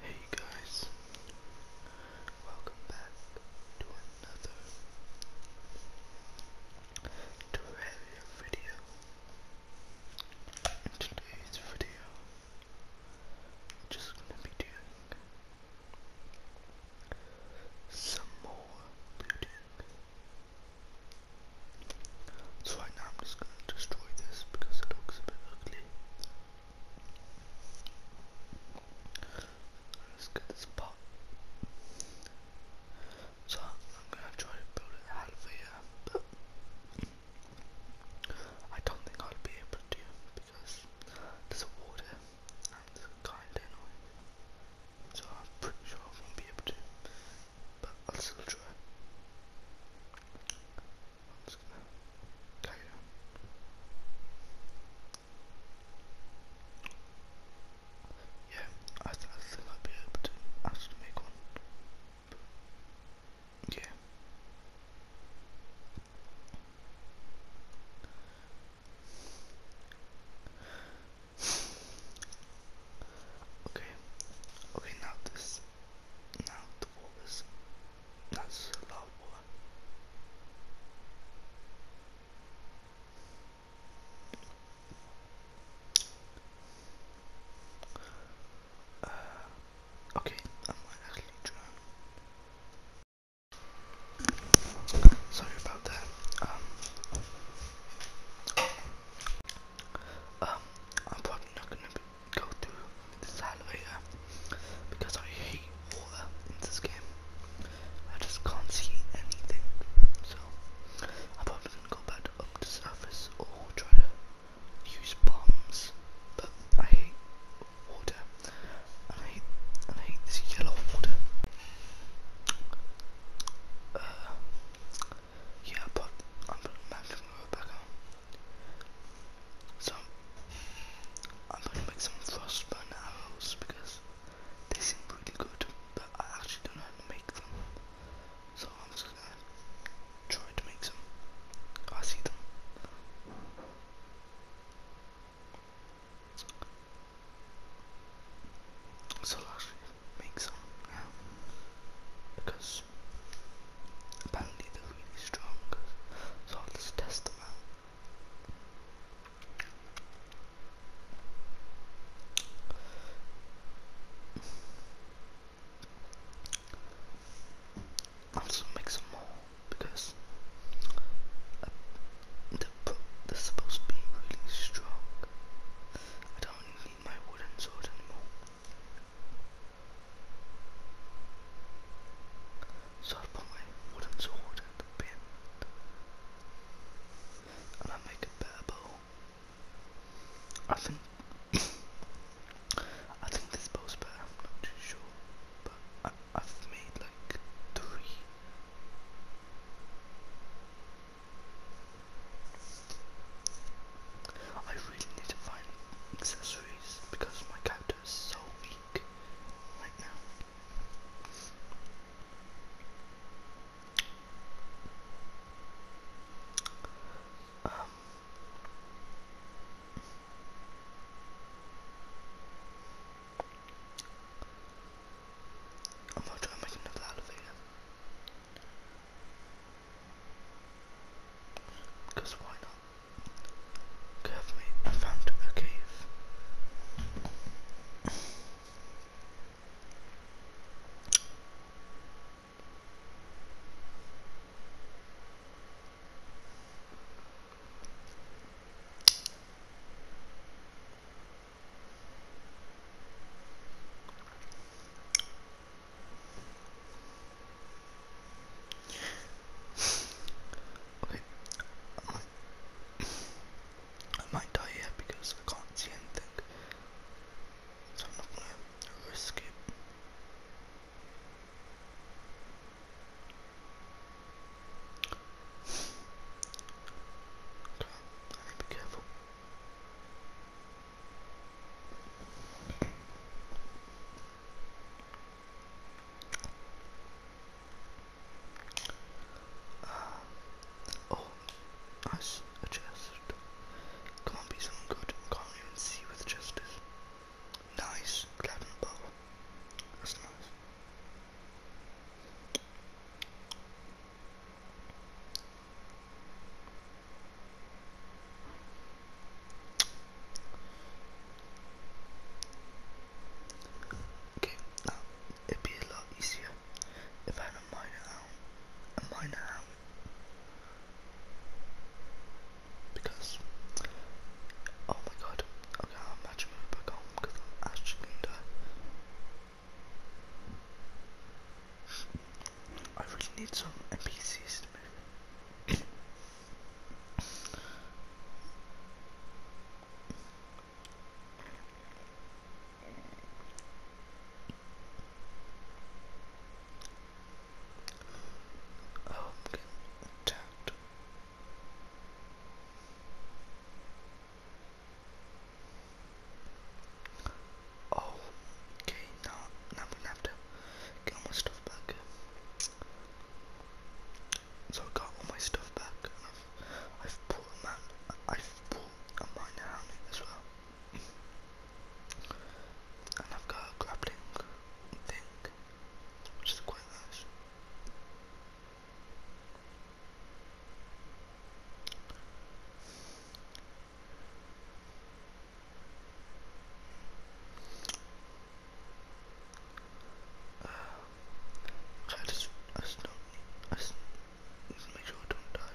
Hey guys, welcome back to another Terraria video. In today's video, I'm just gonna be doing some more building. So right now I'm just gonna destroy this because it looks a bit ugly. Let's get this pot. So I'm gonna try to build it out of here, I don't think I'll be able to because there's water and it's kinda annoying. So I'm pretty sure I won't be able to, but I'll still try. I'm just gonna tie it down. Yeah, I, I think I'll be able to actually make one. yeah. Okay. Okay, now this. Now the wall that's a loud uh, okay, Sorry about that. Um, um I'm probably not going go to this elevator because I hate water in this game. I just can't see anything. So i probably gonna go back up to surface or try to use bombs. But I hate water. I hate I hate this yellow water. Uh, yeah, but I'm not gonna go so I'm gonna make some frostburn arrows because they seem pretty good, but I actually don't know how to make them. So I'm just gonna try to make some. I see them. So I'll actually make some because Apparently they're really strong, so I'll just test them out. I'll also make some more because uh, they're supposed to be really strong. I don't need my wooden sword anymore. So I put my wooden sword at the pin and I make a better bow. I think I think this bow's better, I'm not too sure. But I have made like three I really need to find accessories because my cat Toronto is so weak right now. Um, I'm not trying to make another elevator. Because why not? Carefully, I found a cave. Okay. I might, I might die here because I can't see anything. So I'm not gonna risk it. Okay, I need to be careful. Um, oh, nice. A Can't be someone good. Can't even see with justice. Nice. Glad and bow. That's nice. Okay, now it'd be a lot easier if I had a minor a minor because oh my god, okay, I'll match move back home because I'm actually I really need some NPCs to move. Oh, okay, now, now we have to get almost stuff back. So I got all my stuff back, I've, bought a man, I've bought a minor helmet as well, and I've got a grappling thing, which is quite nice. Uh, I just, I just don't, I just make sure I don't die.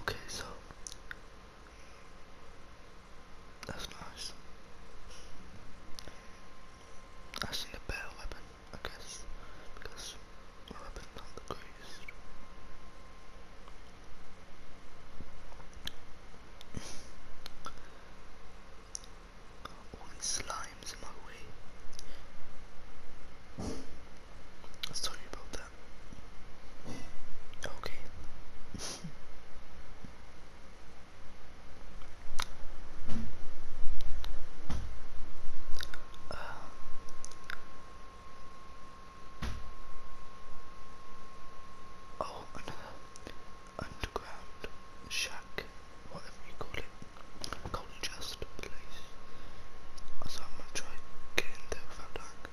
Okay, so that's nice. I need better weapon, I guess, because weapon's not the greatest. All these slimes in my way. Sorry about that. Okay. Uh, oh, another underground shack, whatever you call it. I call place. So I'm gonna try getting there without dying.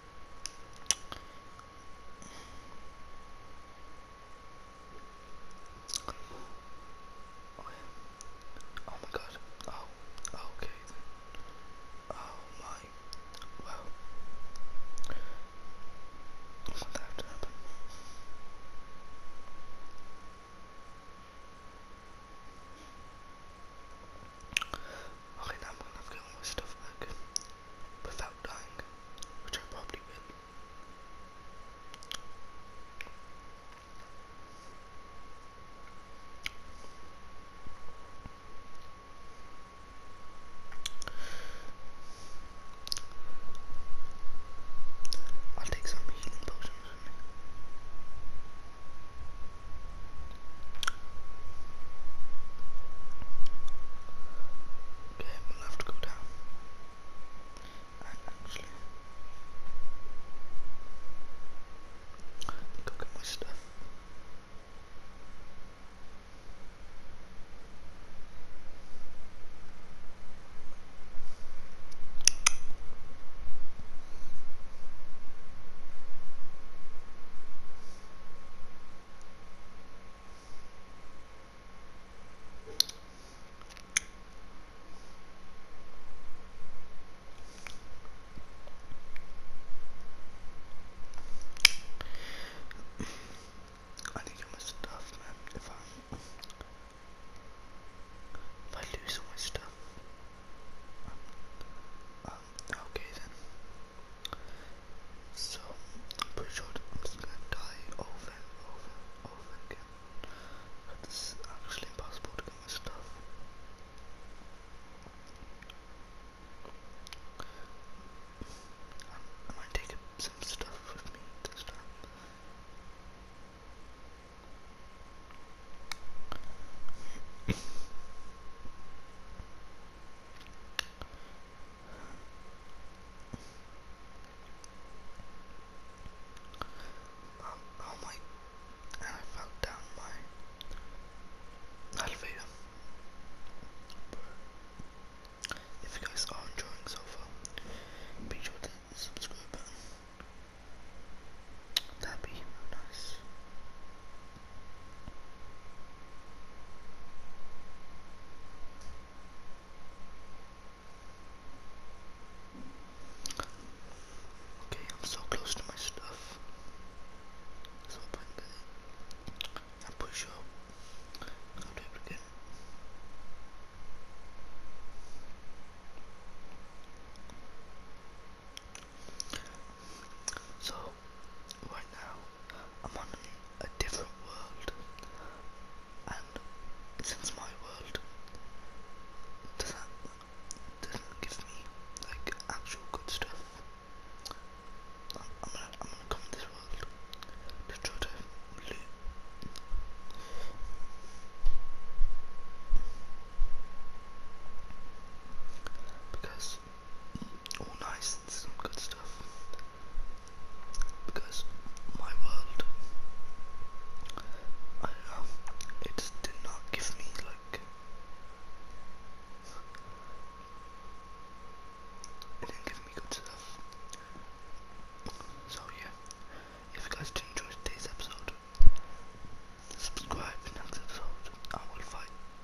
Okay. Oh my god. Oh, oh. Okay Oh my. Wow. What that Okay, now I'm gonna have my stuff without dying, which I probably will. I'll take some healing potions Okay, we'll have to go down. actually, go get my stuff. I need all my stuff, man. If I if I lose all my stuff, um, um, okay then. So I'm pretty sure I'm just gonna die over and over and over again. But it's actually impossible to get my stuff. am um, I might some stuff with me this time. Oh, oh my, and I fell down my elevator. If you guys are enjoying so far, be sure to hit the subscribe button. That'd be nice. Okay, I'm so close to my stuff. Let's open I'm pretty I'll be able So right now I'm on a different world, and since my world doesn't doesn't give me like actual good stuff, I'm, gonna I'm gonna come in this world to try to Because all nice it's good stuff because my world, I don't know, it did not give me like it didn't give me good stuff. So yeah, if you guys did enjoy today's episode, subscribe. Next episode, I will fight.